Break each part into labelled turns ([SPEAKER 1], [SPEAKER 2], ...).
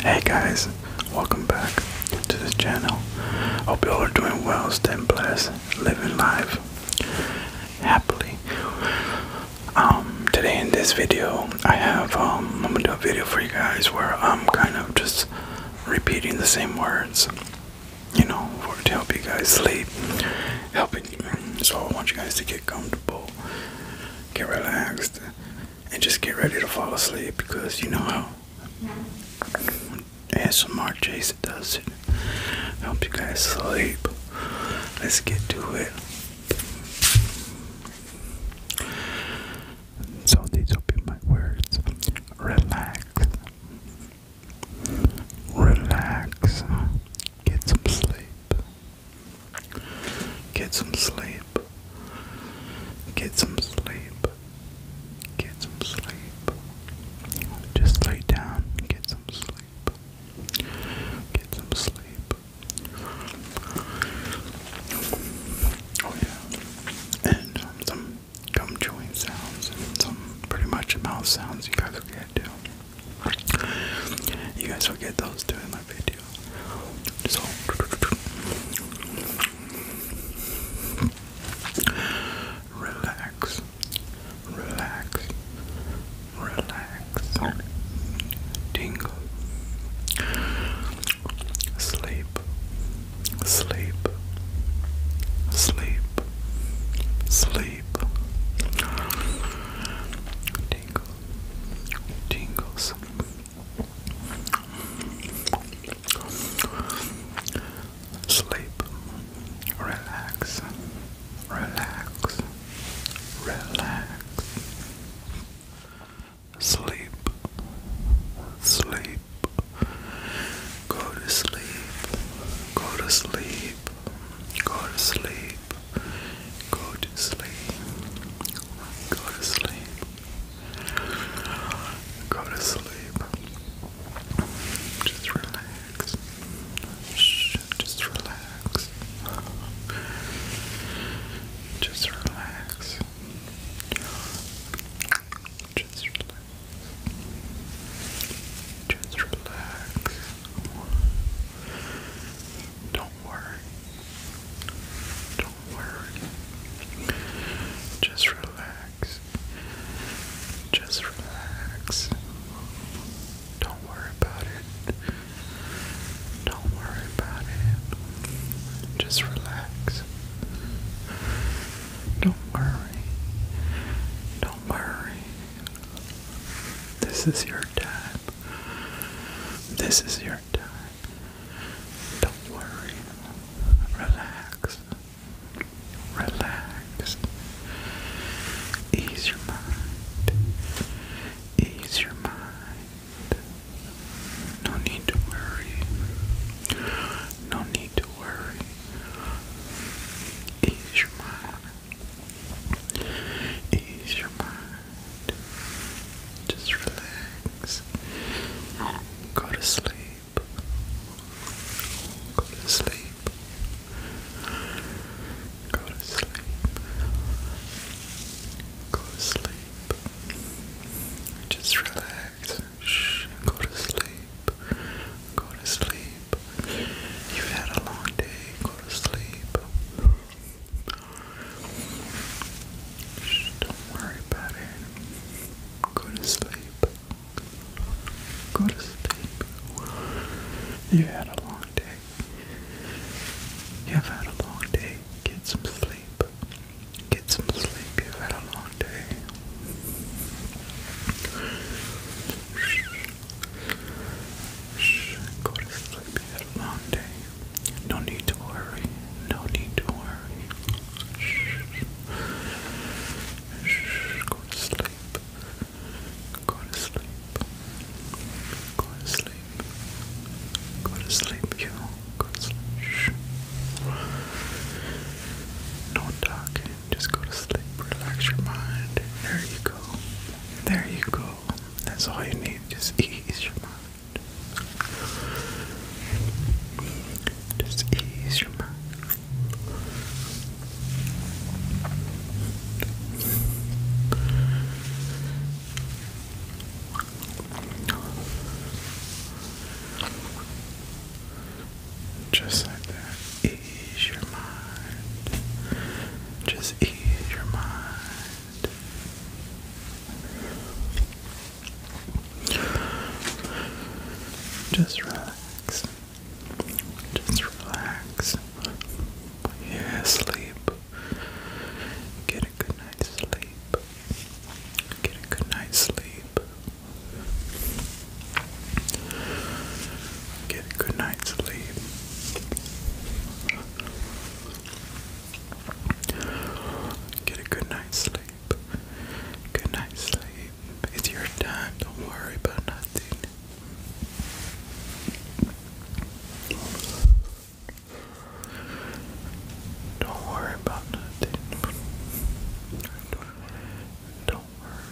[SPEAKER 1] Hey guys, welcome back to this channel. Hope you all are doing well, staying blessed, living life happily. Um, today in this video, I have um, I'm gonna do a video for you guys where I'm kind of just repeating the same words, you know, to help you guys sleep, helping. So I want you guys to get comfortable, get relaxed, and just get ready to fall asleep because you know how As ASMR Jason does it. I hope you guys sleep. Let's get to it. So these will be my words. Relax. Relax. Get some sleep. Get some sleep. Get some sleep. Get some sleep. Just lay down. Get some sleep. Get some sleep. Oh yeah. And um, some gum chewing sounds and some pretty much mouth sounds you guys will get too. You guys will get those too in my video relax, relax, relax, tingle, sleep, sleep, sleep, sleep, tingle, tingles. Sleep, relax, relax, relax. Sleep, sleep, go to sleep, go to sleep, go to sleep, Go to sleep. Go to sleep. Go to sleep. Just relax. Shh, just relax. Just relax. Just relax. Just relax. Don't worry. Don't worry. Just relax. Just relax. Don't worry about it. Don't worry about it. Just relax. Don't worry. Don't worry. This is your time. This is your time. Don't worry. Relax. Relax. Ease your mind. Ease your mind. No need to worry. No need to worry. Ease your mind. Ease your mind. Just relax. Go to sleep. Go to sleep. Go to sleep. Go to sleep. Just relax. Shh. Go to sleep. Go to sleep. You've had a long day. Go to sleep don't worry about it. Go to sleep. Go to sleep. You had a long day. You've had a long day. Get some sleep. Get some sleep. You've had a long day. Shh. Go to sleep. You've had a long day. No need to worry. No need to worry. Go to sleep. Go to sleep. Go to sleep. Go to sleep, you. Go to sleep. No talking. Just go to sleep. Relax your mind. There you go. There you go. That's all you need. Just ease your mind. Just ease your mind. Just like that. Ease your mind. Just ease your mind. Just relax. Just relax. Yeah, sleep. Get a good night's sleep. Get a good night's sleep. Get a good night's sleep. Get a good night's sleep. Good night's sleep. It's your time. Don't worry about nothing. Don't worry about nothing. Don't worry.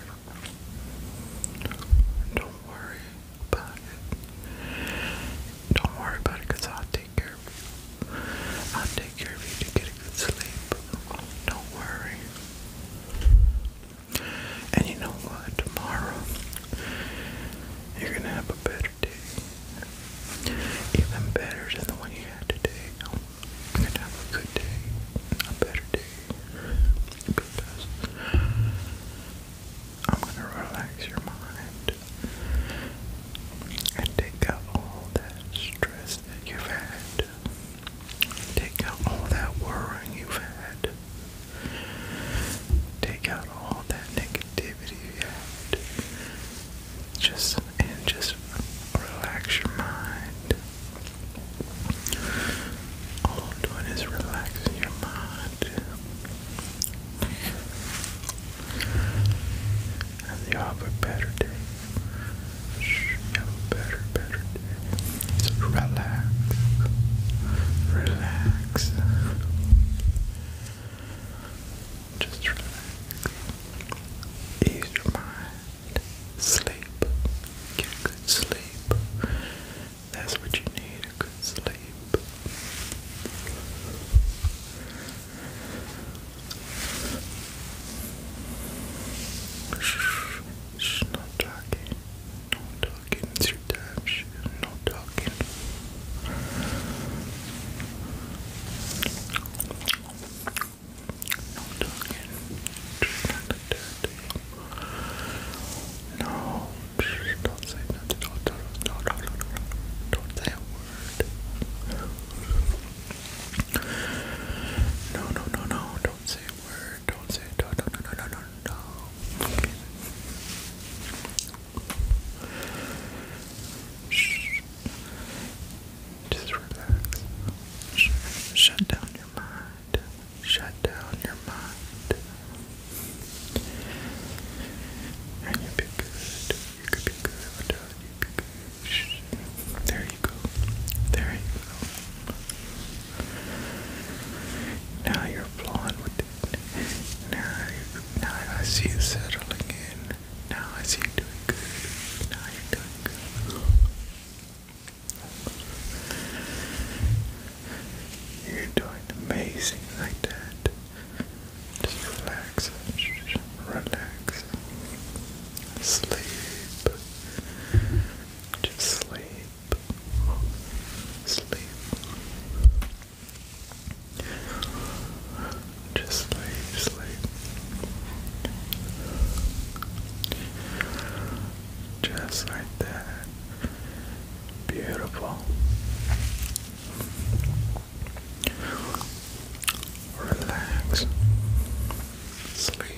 [SPEAKER 1] Don't worry about Don't worry about it because I'll take care of you. I'll take care of you to get a good sleep. Don't worry. And you know what? Tomorrow, you're going to have a better day. Even better than the one you had today. You're going to have a good day. A better day. Because I'm going to relax your mind and take out all that stress that you've had. Take out all that worrying you've had. Take out all that negativity you had. Just and just relax your mind. All I'm is relaxing your mind. And you have a better day. You have a better, better day. So relax. Relax. Just relax. Ease your mind. Sleep. Get good sleep. That's what you need sleep. not talking. Not talking. It's your not talking. No talking. No don't say nothing. Don't, don't, don't, don't, say a word. No, no, no, no. Don't say a word. Don't say no, no, no, no, no, no. Just relax. Shut down your mind. Shut down your mind. And you'll be good. You could be good. be good. There you go. There you go. Now you're blowing with it. Now, now I see you settling in. Now I see you doing good. Now you're doing good. You're doing amazing like that. Just relax, relax, sleep, just sleep, sleep, just sleep, sleep, just like that. Beautiful relax, sleep,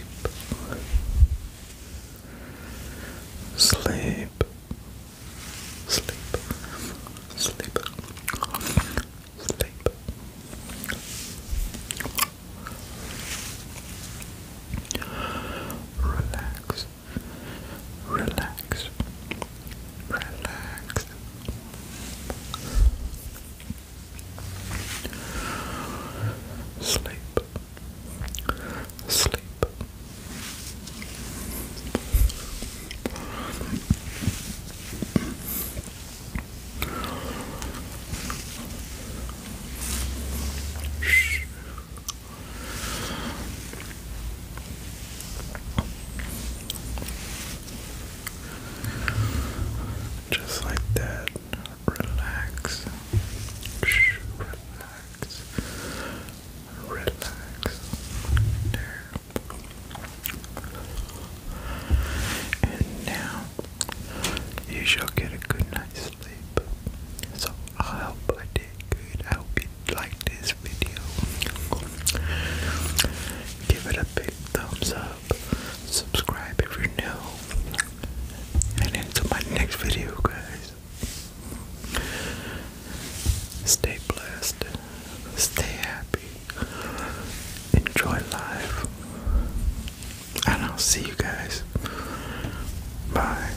[SPEAKER 1] sleep, sleep, sleep, sleep. Relax, Relax. Relax. Sleep. Sleep. Shh. Just like that. Relax. Shh, relax. Relax. There. And now you shall get a good night's sleep. So I'll help I good. I hope you liked this video. Give it a big thumbs up. Subscribe if you're new. And into my next video, guys. Stay blessed. Stay happy. Enjoy life. And I'll see you guys. Bye.